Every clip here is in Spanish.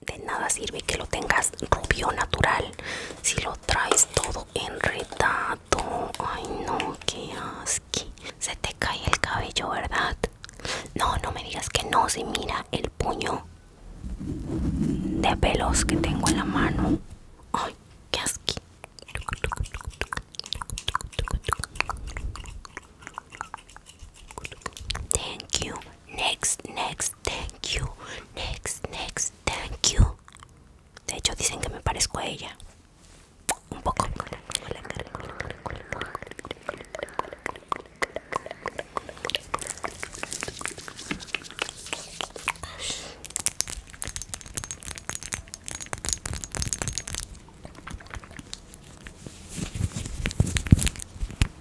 De nada sirve que lo tengas rubio natural si lo traes todo enredado. Ay, no, qué asqui Se te cae el cabello, ¿verdad? No, no me digas que no. Si mira el puño de pelos que tengo en la mano. Ay, qué asqui Thank you. Next, next, thank you. Next, next, thank you. De hecho, dicen que me parezco a ella. Un poco.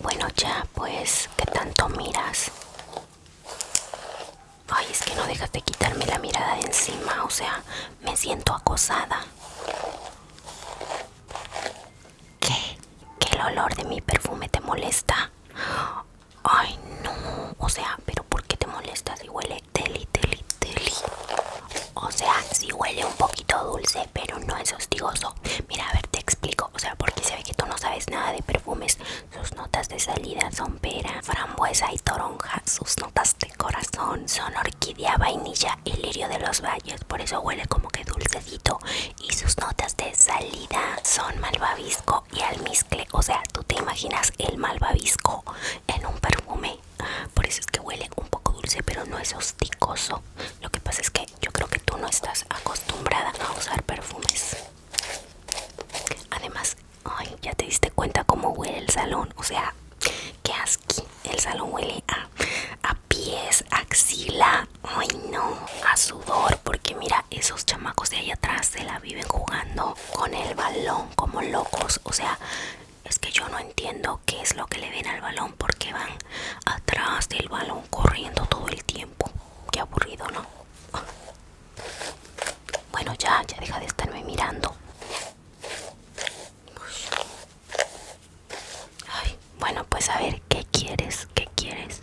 Bueno ya, pues, ¿qué tanto miras? Ay, es que no dejas de quitarme la mirada de encima, o sea, me siento acosada. ¿Qué? que el olor de mi perfume te molesta. Ay, no. O sea, pero ¿por qué te molesta si huele deli, deli, O sea, si huele un poquito dulce, pero no es hostigoso. Mira, a ver, te explico. O sea, porque se ve que tú no sabes nada de perfumes. Sus notas de salida son pera, frambuesa y toronja. Sus notas de corazón son orquídea, vainilla y lirio de los valles. Por eso huele como que dulcecito y sus notas de salida son malvavisco y almizcle o sea tú te imaginas el malvavisco en un perfume por eso es que huele un poco dulce pero no es hosticoso, lo que pasa es que yo creo que tú no estás acostumbrada a usar perfumes además ya te diste cuenta cómo huele el salón o sea que aquí el salón huele a pies, axila, ay no, a sudor, porque mira, esos chamacos de ahí atrás se la viven jugando con el balón como locos, o sea, es que yo no entiendo qué es lo que le ven al balón, porque van atrás del balón corriendo todo el tiempo, qué aburrido, ¿no? Bueno, ya, ya deja de estarme mirando bueno, pues a ver, ¿qué quieres? ¿Qué quieres?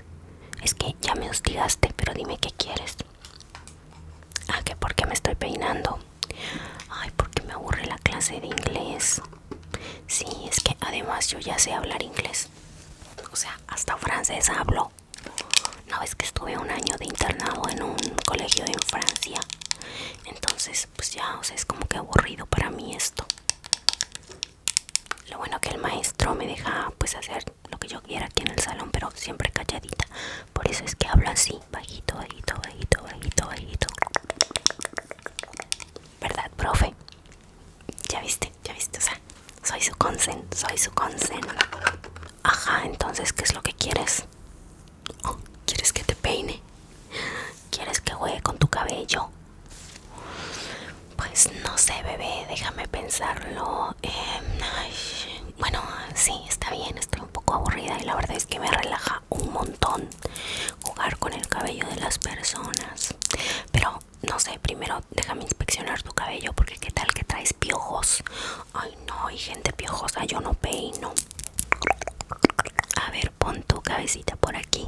Es que ya me hostigaste, pero dime qué quieres. Ah, que porque me estoy peinando. Ay, porque me aburre la clase de inglés. Sí, es que además yo ya sé hablar inglés. O sea, hasta francés hablo. No es que estuve un año de internado en un colegio en Francia. Entonces, pues ya, o sea, es como que aburrido para mí esto. Lo bueno que el maestro me deja pues hacer lo que yo quiera aquí en el salón, pero siempre calladita. Por eso es que hablo así, bajito, bajito, bajito, bajito, bajito. ¿Verdad, profe? Ya viste, ya viste, o sea, soy su consent, soy su consent. Ajá, entonces, ¿qué es lo que quieres? Oh, ¿Quieres que te peine? ¿Quieres que juegue con tu cabello? Pues no sé, bebé, déjame pensarlo. Em, bueno, sí, está bien, estoy un poco aburrida y la verdad es que me relaja un montón jugar con el cabello de las personas. Pero no sé, primero déjame inspeccionar tu cabello porque qué tal que traes piojos. Ay, no, hay gente piojosa, yo no peino. A ver, pon tu cabecita por aquí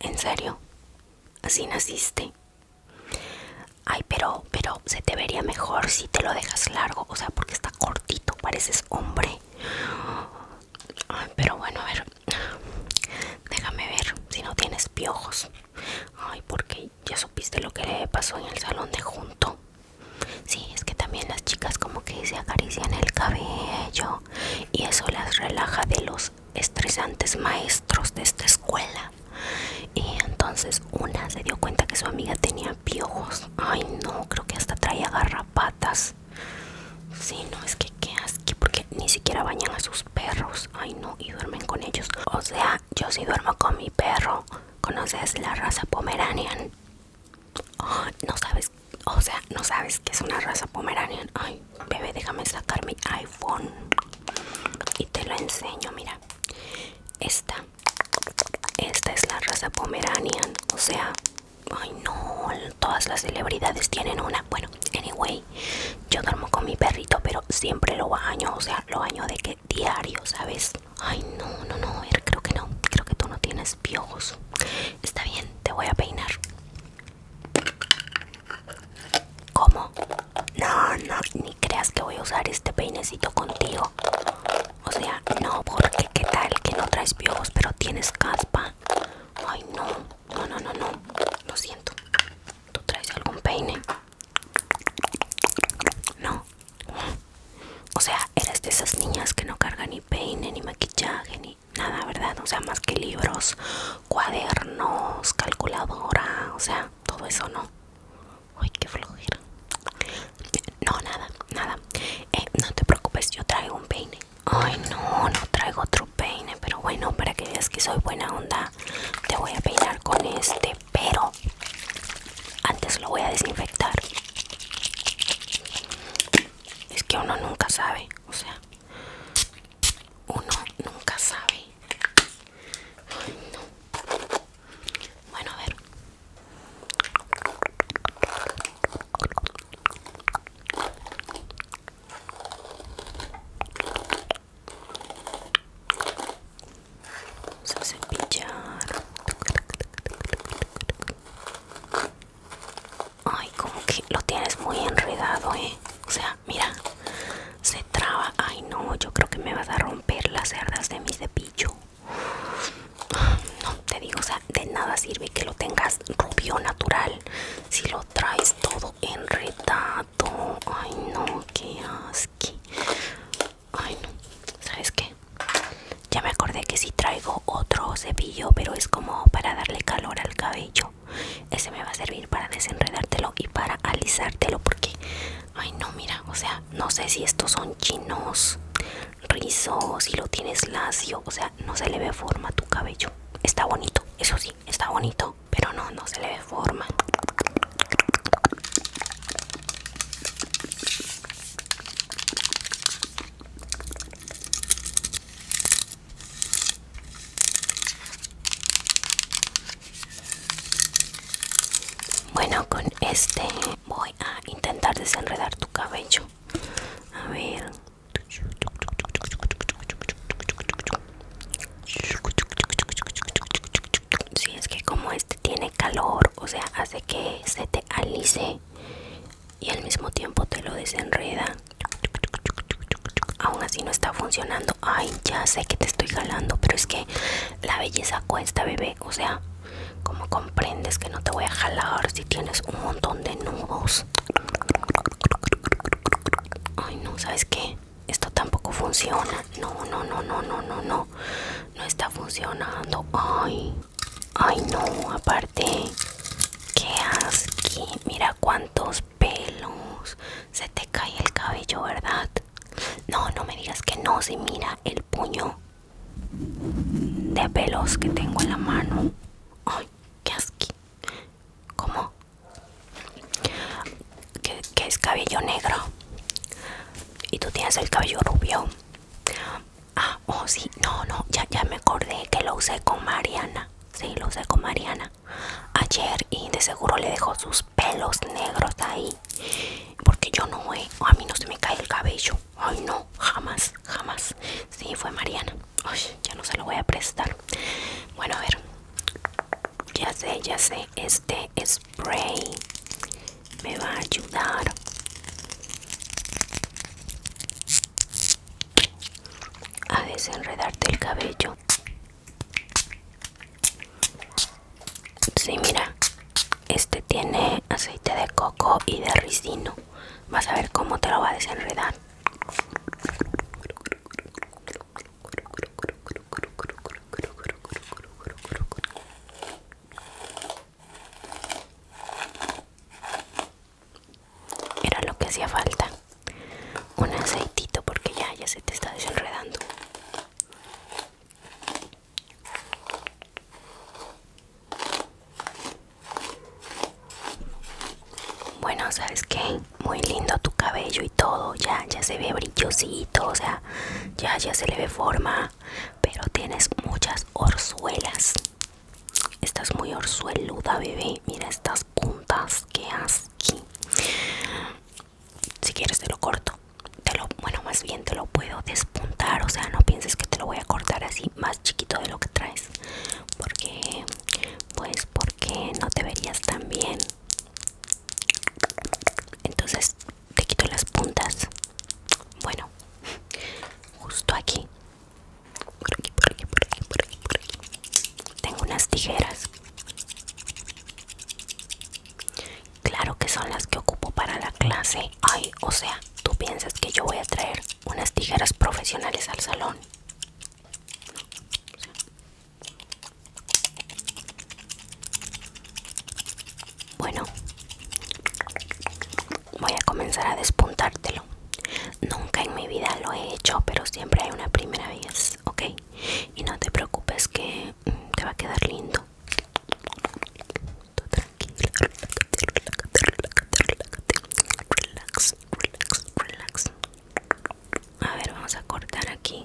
¿En serio? Así naciste. Ay, pero, pero se te vería mejor si te lo dejas largo, o sea, porque está cortito, pareces hombre. Ay, pero bueno, a ver, déjame ver si no tienes piojos. Ay, porque ya supiste lo que le pasó en el salón de junto. Sí, es que también las chicas como que se acarician el cabello y eso las relaja de los estresantes maestros de esta escuela. Y entonces una se dio cuenta que su amiga tenía piojos. Ay, no, creo que hasta traía garrapatas. Si no, es que qué asco, porque ni siquiera bañan a sus perros. Ay, no, y duermen con ellos. O sea, yo sí duermo con mi perro. ¿Conoces la raza Pomeranian? no sabes o sea no sabes que es una raza pomeranian ay bebé déjame sacar mi iphone y te lo enseño mira esta esta es la raza pomeranian o sea ay no todas las celebridades tienen una bueno anyway yo duermo con mi perrito pero siempre lo baño o sea lo baño de que diario sabes ay no no no creo que no creo que tú no tienes piojos Está bien, te voy a peinar. ¿Cómo? No, no, ni creas que voy a usar este peinecito contigo. O sea, no, porque qué tal que no traes piojos, pero tienes caspa. Ay, no, no, no, no, no. Lo siento. ¿Tú traes algún peine? No. O sea, eres de esas niñas que no cargan ni peine, ni maquillaje, ni nada, ¿verdad? O sea, más que libros, cuadernos, calculadora, o sea, todo eso no. Ay, qué flojera. No, nada, nada. Eh, no te preocupes, yo traigo un peine. Ay, no, no traigo otro peine, pero bueno, para que veas que soy buena onda, te voy a peinar con este, pero antes lo voy a desinfectar. Es que uno nunca sabe, o sea, uno nunca sabe. Bueno, a ver. Vamos a cepillar. Ay, como que lo tienes muy enredado, ¿eh? O sea, mira, se traba. Ay, no, yo creo que me vas a romper las cerdas de mi cepillo. No, te digo, o sea, de nada sirve que lo tengas rubio natural si lo traes todo enredado. Ay, no, qué asco. Ay no, ¿sabes qué? Ya me acordé que si traigo otro cepillo, pero es como para darle calor al cabello. Ese me va a servir para desenredártelo y para alisártelo porque, ay no, mira, o sea, no sé si estos son chinos, rizos, si lo tienes lacio, o sea, no se le ve forma a tu cabello. Está bonito, eso sí, está bonito, pero no, no se le ve forma. Bueno, con este voy a intentar desenredar tu cabello. A ver. Si sí, es que como este tiene calor, o sea, hace que se te alice y al mismo tiempo te lo desenreda. Aún así no está funcionando. Ay, ya sé que te estoy jalando, pero es que la belleza cuesta, bebé. O sea, como comprendes que no te voy a jalar si tienes un montón de nudos. Ay, no, ¿sabes qué? Esto tampoco funciona. No, no, no, no, no, no, no no está funcionando. Ay, ay no, aparte, qué asco Mira cuántos pelos. Se te cae el cabello, ¿verdad? No, no me digas que no, si mira el puño de pelos que tengo en la mano. Ay, qué asco ¿Cómo? Que, que es cabello negro y tú tienes el cabello rubio Ah, oh sí, no, no, ya, ya me acordé que lo usé con Mariana. Sí, lo usé con Mariana ayer y de seguro le dejó sus pelos negros ahí. Porque yo no, eh, a mí no se me cae el cabello. Ay, no, jamás, jamás. Sí, fue Mariana. ya no se lo voy a prestar. Bueno, a ver. Ya sé, ya sé. Este es me va a ayudar a desenredarte el cabello Sí, mira, este tiene aceite de coco y de ricino. Vas a ver cómo te lo va a desenredar. Era lo que hacía falta. Un aceitito porque ya, ya se te está desenredando. Bueno, sabes que muy lindo tu cabello y todo, ya, ya se ve brillosito o sea, ya, ya se le ve forma, pero tienes muchas orzuelas. Estás muy orzueluda, bebé. Mira estas puntas que aquí Si quieres te lo corto. Te lo, bueno, más bien te lo puedo despuntar, o sea, no pienses que te lo voy a cortar así más chiquito de lo que traes. Porque pues porque no te verías tan bien entonces te quito las puntas bueno justo aquí por aquí por aquí por aquí por aquí, por aquí. tengo unas tijeras claro que son las que ocupo para la clase ay o sea tú piensas que yo voy a traer unas tijeras profesionales al salón bueno, voy a comenzar a despuntártelo. Nunca en mi vida lo he hecho, pero siempre hay una primera vez, ¿ok? Y no te preocupes que mm, te va a quedar lindo. Relax, relax, relax. A ver, vamos a cortar aquí.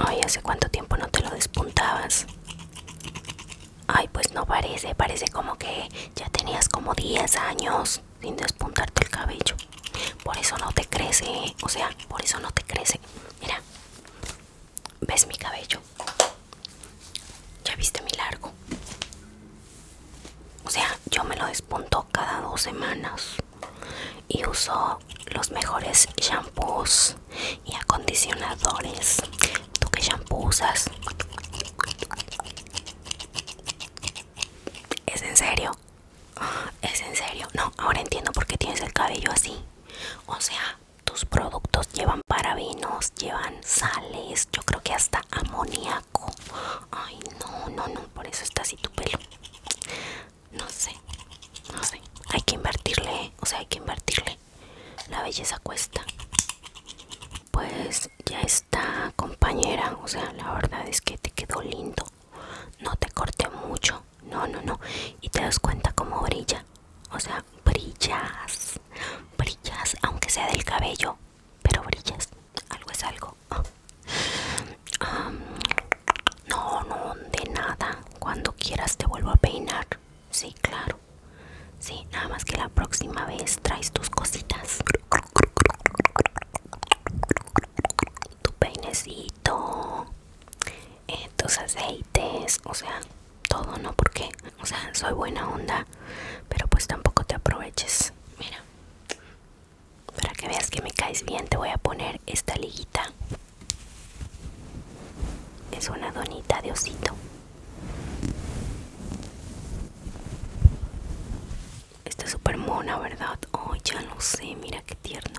Ay, ¿hace cuánto tiempo no te lo despuntabas? Ay, pues no parece, parece como que ya tenías como 10 años sin despuntarte el cabello. Por eso no te crece, o sea, por eso no te crece. Mira, ¿Ves mi cabello? ¿Ya viste mi largo? O sea, yo me lo despunto cada dos semanas y uso los mejores shampoos y acondicionadores. ¿Tú qué shampoo usas? ¿Es en serio? ¿Es en serio? No, ahora entiendo por qué tienes el cabello así. O sea, tus productos llevan vinos, llevan sales, yo creo que hasta amoníaco. Ay, no, no, no, por eso está así tu pelo. No sé, no sé. Hay que invertirle, o sea, hay que invertirle. La belleza cuesta. Pues ya está, compañera. O sea, la verdad es que te quedó lindo. No te corté mucho. No, no, no. Y te das cuenta como brilla. O sea, brillas, brillas, aunque sea del cabello, pero brillas, algo es algo. Ah. Ah. no, no, de nada, cuando quieras te vuelvo a peinar, sí, claro, sí, nada más que la próxima vez traes tus cositas. Tu peinecito, eh, tus aceites, o sea, todo, ¿no? Porque, o sea, soy buena onda, pero pues tampoco te aproveches. Mira, para que veas que me caes bien, te voy a poner esta liguita. Es una donita de osito. Está súper mona, ¿verdad? oh, ya lo sé, mira qué tierno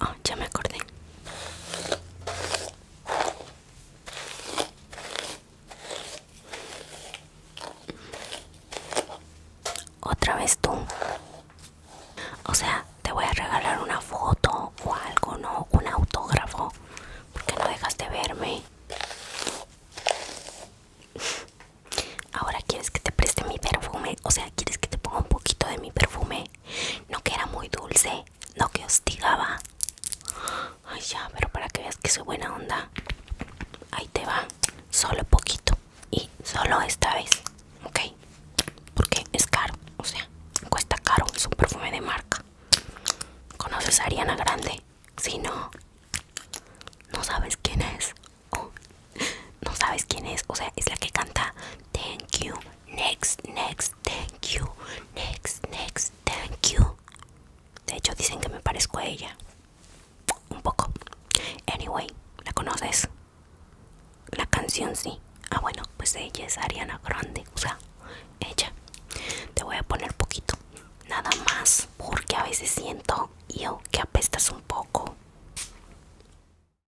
Oh, ya me acordé. Otra vez tú. O sea, te voy a regalar una foto o algo, ¿no? Un autógrafo. Porque no dejas de verme. Ahora quieres que te preste mi perfume. O sea, quieres que te ponga un poquito de mi perfume no que era muy dulce, no que hostigaba. Ay, ya, pero para que veas que soy buena onda, ahí te va, solo poquito y solo esta vez, ok, porque es caro, o sea, cuesta caro, es un perfume de marca. ¿Conoces a Ariana Grande? Si no, no sabes quién es. Oh no sabes quién es, o sea, es la que canta Thank you, next, next, thank you, next, next, thank you. De hecho, dicen que me parezco a ella. Un poco. Anyway, ¿la conoces? La canción sí. Ah, bueno, pues ella es Ariana Grande, o sea, ella. Te voy a poner poquito, nada más, porque a veces siento yo que apestas un poco.